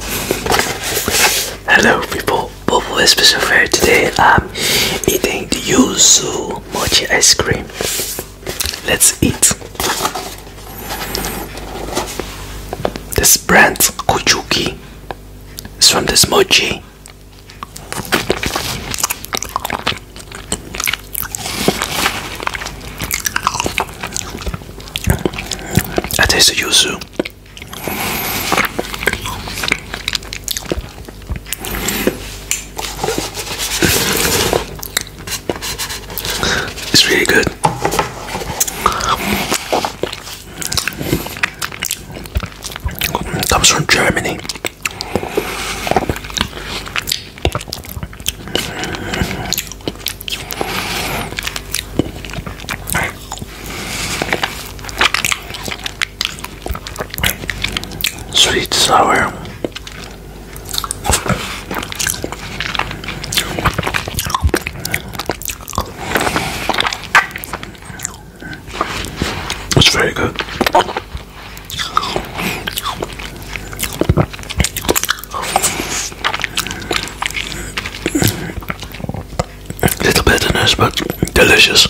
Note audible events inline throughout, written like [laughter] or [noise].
Hello people, Bubble special Fair. Today I'm eating the Yuzu Mochi ice cream. Let's eat. This brand, Kuchuki, is from the mochi. I taste Yuzu. It's really good. It comes from Germany. Sweet sour. It's very good little bitterness, but delicious.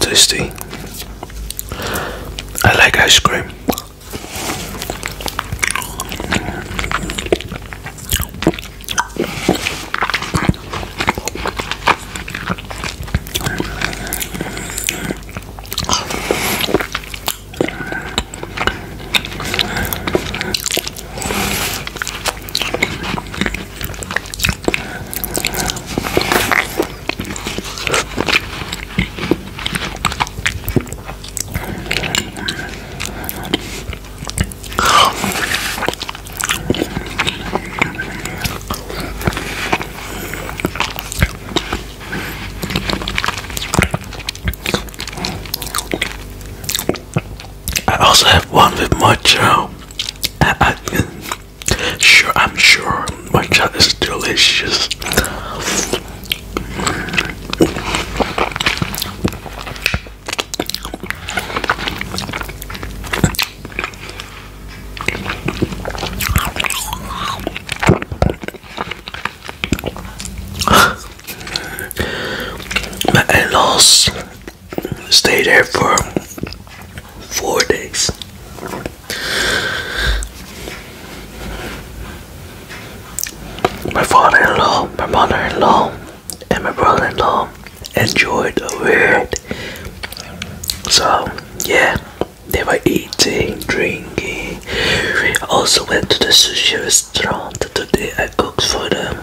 Tasty. I like ice cream. I also have one with much I, I, sure, I'm sure my child is delicious. [gasps] My in stay there for four days. My father-in-law, my mother-in-law, and my brother-in-law enjoyed a weird. So yeah, they were eating, drinking. We also went to the sushi restaurant today. I cooked for them.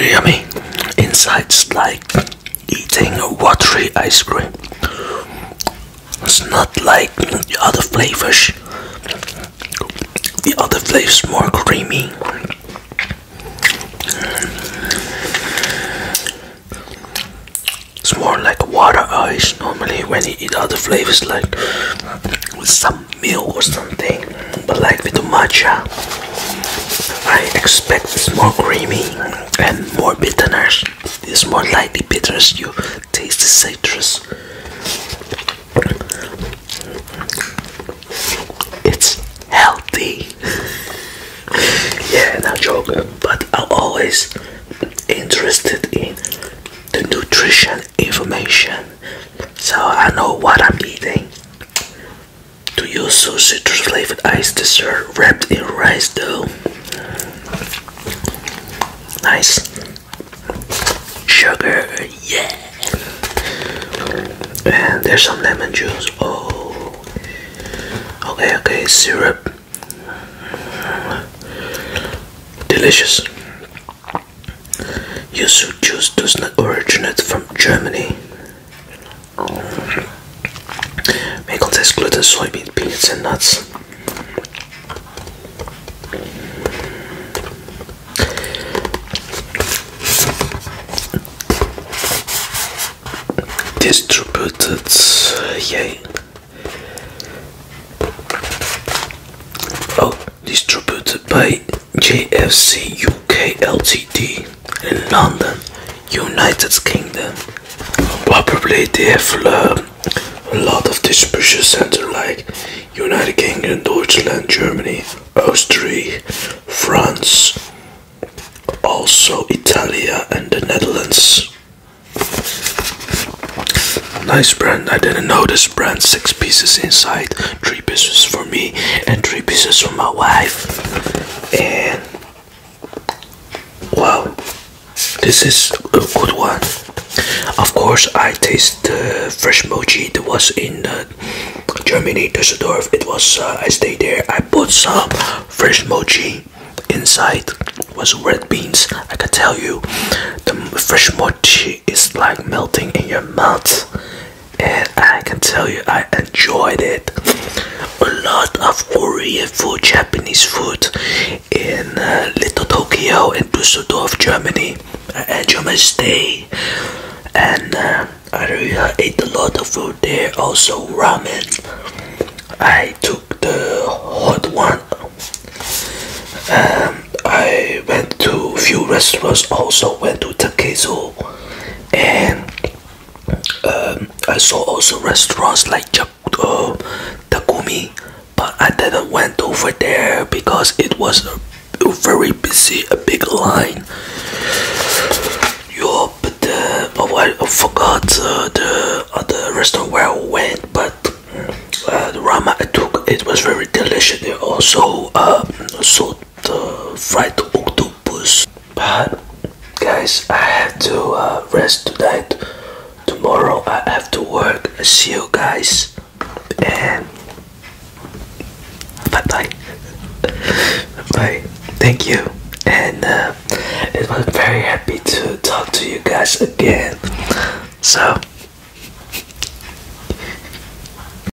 Yummy. Insides like eating a watery ice cream. It's not like the other flavors. The other flavors more creamy. It's more like water ice normally when you eat other flavors like with some milk or something, but like with the matcha, I expect it's more creamy and more bitterness. It's more lightly bitters. You taste the citrus. It's healthy. yeah, no joke. But I'm always interested in the nutrition information, so I know what I'm eating. Do you use citrus flavored ice dessert wrapped in rice dough. Nice sugar, yeah. And there's some lemon juice. Oh, okay, okay, syrup. Delicious. Yuzu juice does not originate from Germany. May contains gluten, soybean, peanuts, and nuts. Distributed, yay. Oh, distributed by JFC UK Ltd in London, United Kingdom. Probably they have uh, a lot of distribution centers like United Kingdom, Deutschland, Germany, Austria, France, also Italy and the Netherlands. Nice brand, I didn't know this brand, six pieces inside three pieces for me and three pieces for my wife and wow this is a good one of course i taste the fresh mochi that was in uh, germany düsseldorf it was uh, i stayed there i put some fresh mochi inside was red beans i can tell you the fresh mochi is like melting in your mouth and I can tell you I enjoyed it. A lot of Korean food, Japanese food in uh, Little Tokyo in Düsseldorf, Germany. I enjoyed my and uh, I really ate a lot of food there. Also ramen. I took the hot one. Um, I went to a few restaurants. Also went to Takezo and um, I saw also restaurants like uh, Takumi, but I didn't went over there because it was very busy, a big line. Yeah, but uh, I forgot uh, the other restaurant where I went, but uh, the ramen I took it was very delicious. also uh, about the fried octopus. But guys, I have to uh, rest tonight. Tomorrow I have to work. See you guys. And bye bye. bye. Thank you. And uh, it was very happy to talk to you guys again. So.